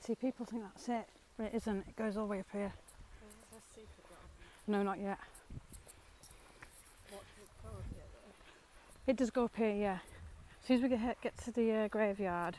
See, people think that's it, but it isn't. It goes all the way up here. No, not yet. It does go up here, yeah. As soon as we get, get to the uh, graveyard,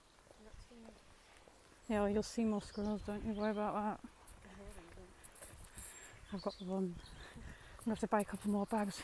Yeah, you'll see more squirrels, don't you? Worry about that. I've got one. I'm going have to buy a couple more bags.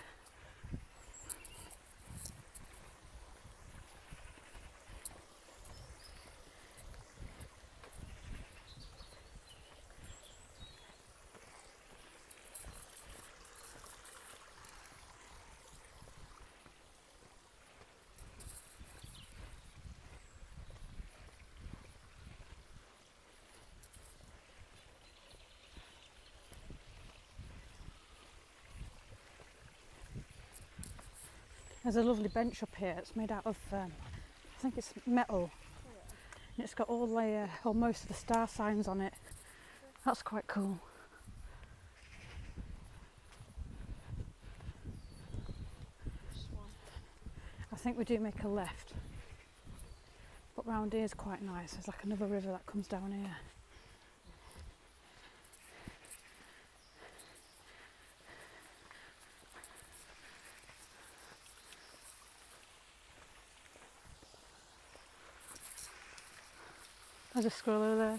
There's a lovely bench up here. It's made out of, um, I think it's metal. And it's got all the, uh, or most of the star signs on it. That's quite cool. I think we do make a left, but round here is quite nice. There's like another river that comes down here. There's just scroll over there.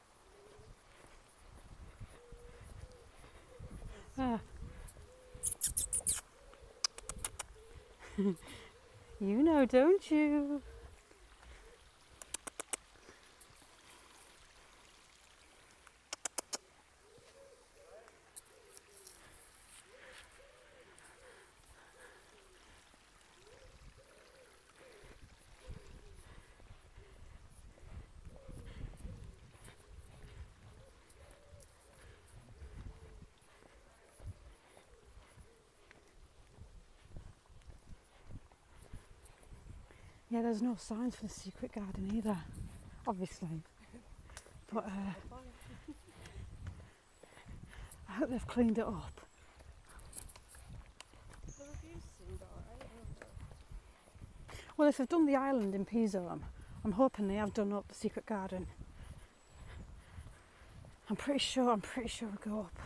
Ah. you know, don't you? Yeah, there's no signs for the secret garden either, obviously. But uh, I hope they've cleaned it up. Well, if they've done the island in Pisa, I'm, hoping they have done up the secret garden. I'm pretty sure, I'm pretty sure I go up.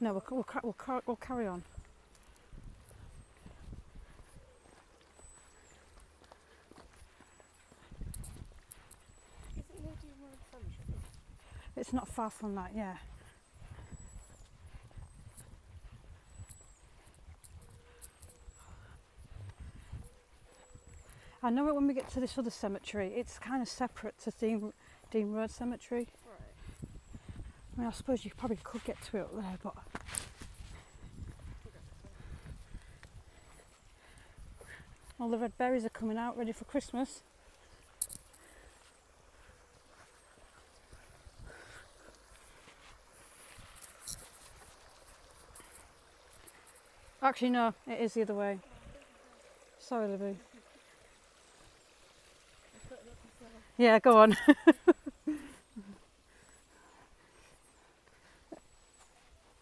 No, we'll carry on. It's not far from that, yeah. I know it when we get to this other cemetery. It's kind of separate to Dean, Dean Road Cemetery. I mean, I suppose you probably could get to it there, but all the red berries are coming out ready for Christmas. Actually, no, it is the other way. Sorry, Libby. Yeah, go on.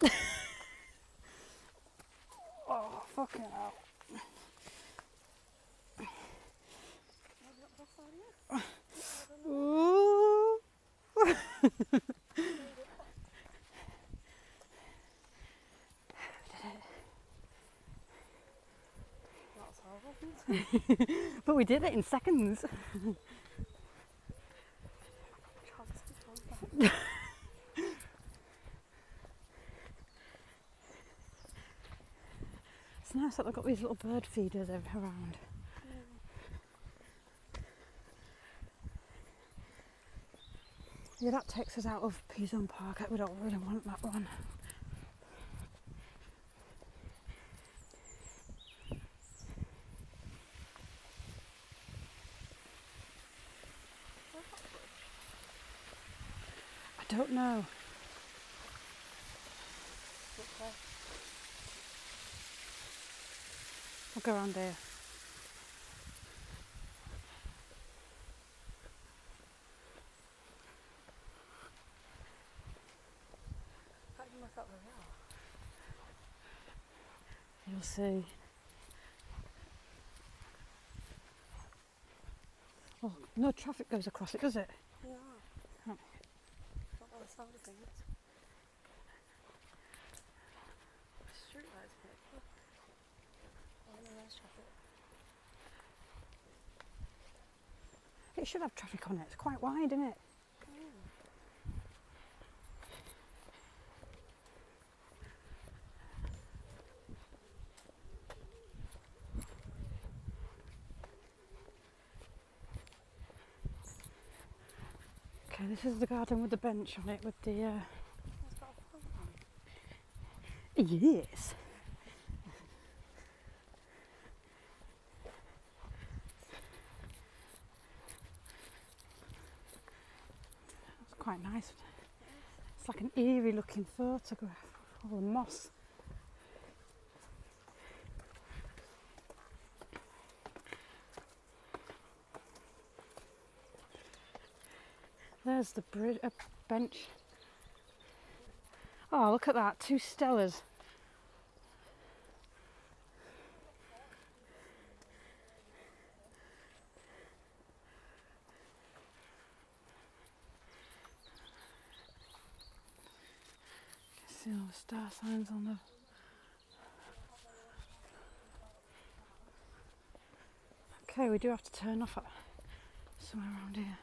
oh, fucking hell. Ooh. but we did it in seconds. it's nice that they've got these little bird feeders around. Yeah, that takes us out of Pison Park. We don't really want that one. I don't know. We'll go around there. You'll see. Oh, no traffic goes across it, does it? Oh. Oh, it should have traffic on it. It's quite wide, isn't it? Okay, this is the garden with the bench on it with the. Uh, yes. It's quite nice. It's like an eerie looking photograph of all the moss. There's the uh, bench. Oh, look at that, two stellars see all the star signs on the okay we do have to turn off somewhere around here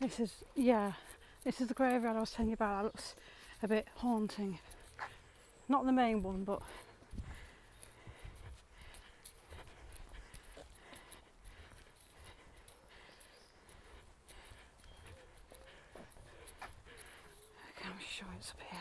this is, yeah, this is the graveyard I was telling you about. That looks a bit haunting. Not the main one, but Okay, I'm sure it's up here.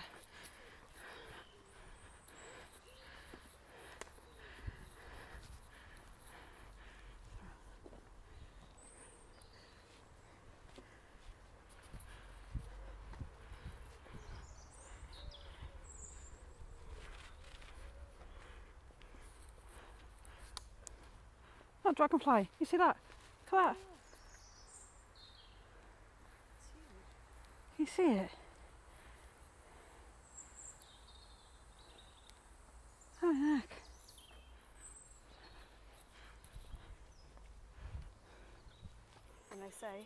That dragonfly, you see that? Come at You see it? Oh, look. And they say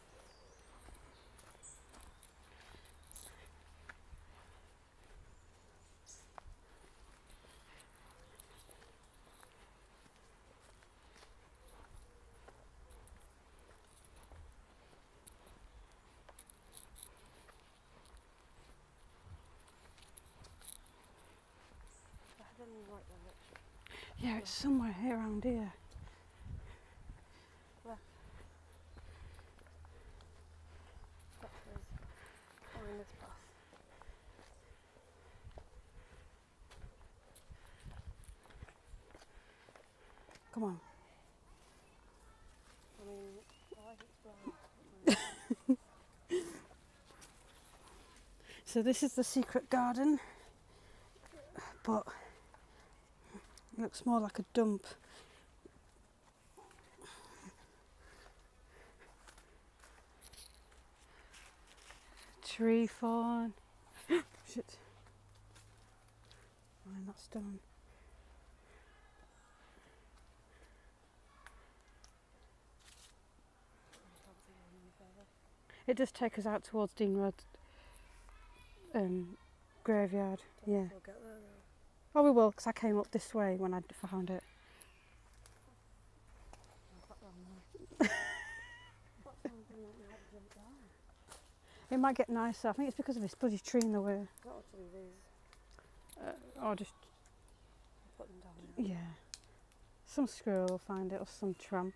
Yeah, it's somewhere here around here. Come on. so this is the secret garden but looks more like a dump. Tree fawn. Shit. Why not stone? It does take us out towards Dean Road um, graveyard. yeah. oh, we will, because I came up this way when I found it. it might get nicer. I think it's because of this bloody tree in the way. I'll uh, just. Yeah. Some squirrel will find it or some tramp.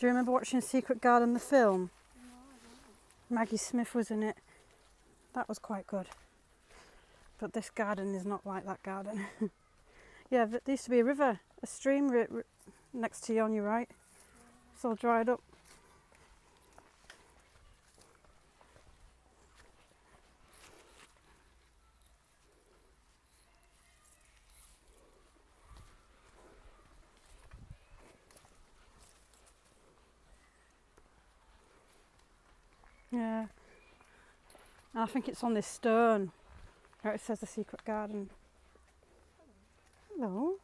Do you remember watching Secret Garden, the film? Maggie Smith was in it. That was quite good. But this garden is not like that garden. yeah, there used to be a river, a stream next to you on your right. It's all dried up. Yeah. I think it's on this stone it says the secret garden. Hello.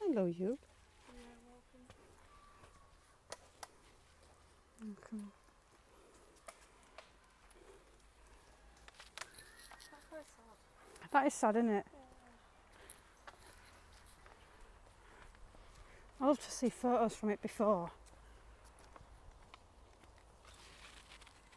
Hello, you. Yeah, That is sad, isn't it? I love to see photos from it before.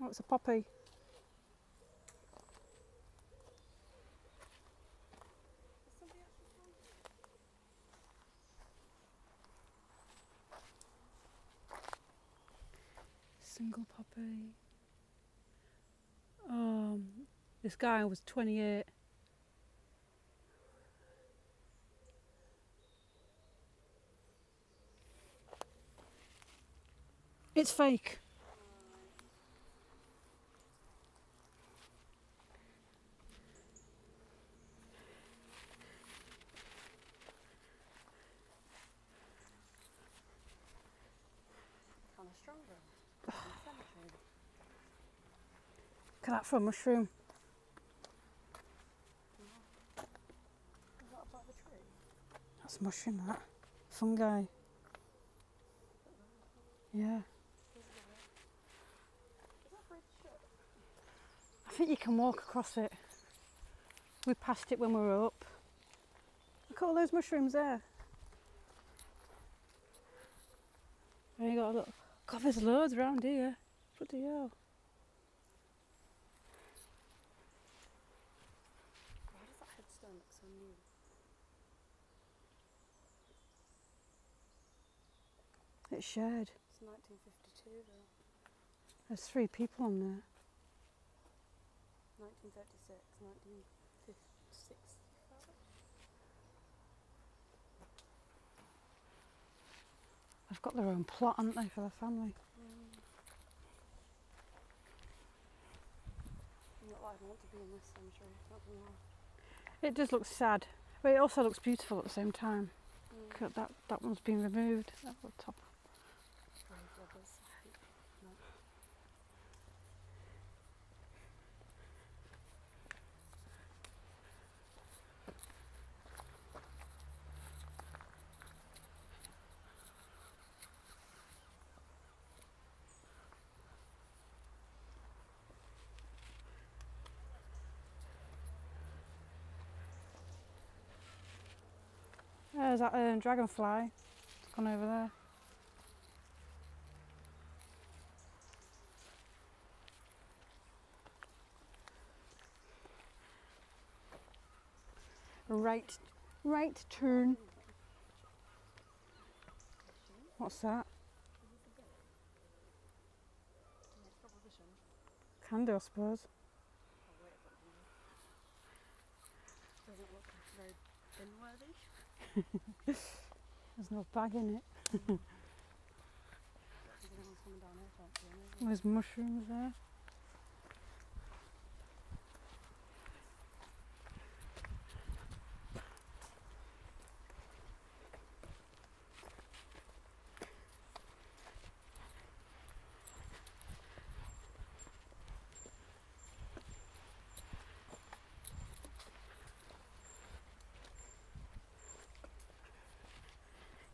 That's a poppy. Single poppy. Um, this guy was 28 it's fake. Look at that mushroom. That's mushroom, that. Fungi. Yeah. I think you can walk across it. We passed it when we were up. Look at all those mushrooms there. And you got a look. God, there's loads around here. What the hell? It's shared. It's 1952 though. There's three people on there. 1936, 1956. They've got their own plot, haven't they, for their family? Mm. It does look sad, but it also looks beautiful at the same time. Mm. That, that one's been removed, that top. There's that um, dragonfly. It's gone over there. Right, right turn. What's that? Can I suppose. There's no bag in it. There's mushrooms there.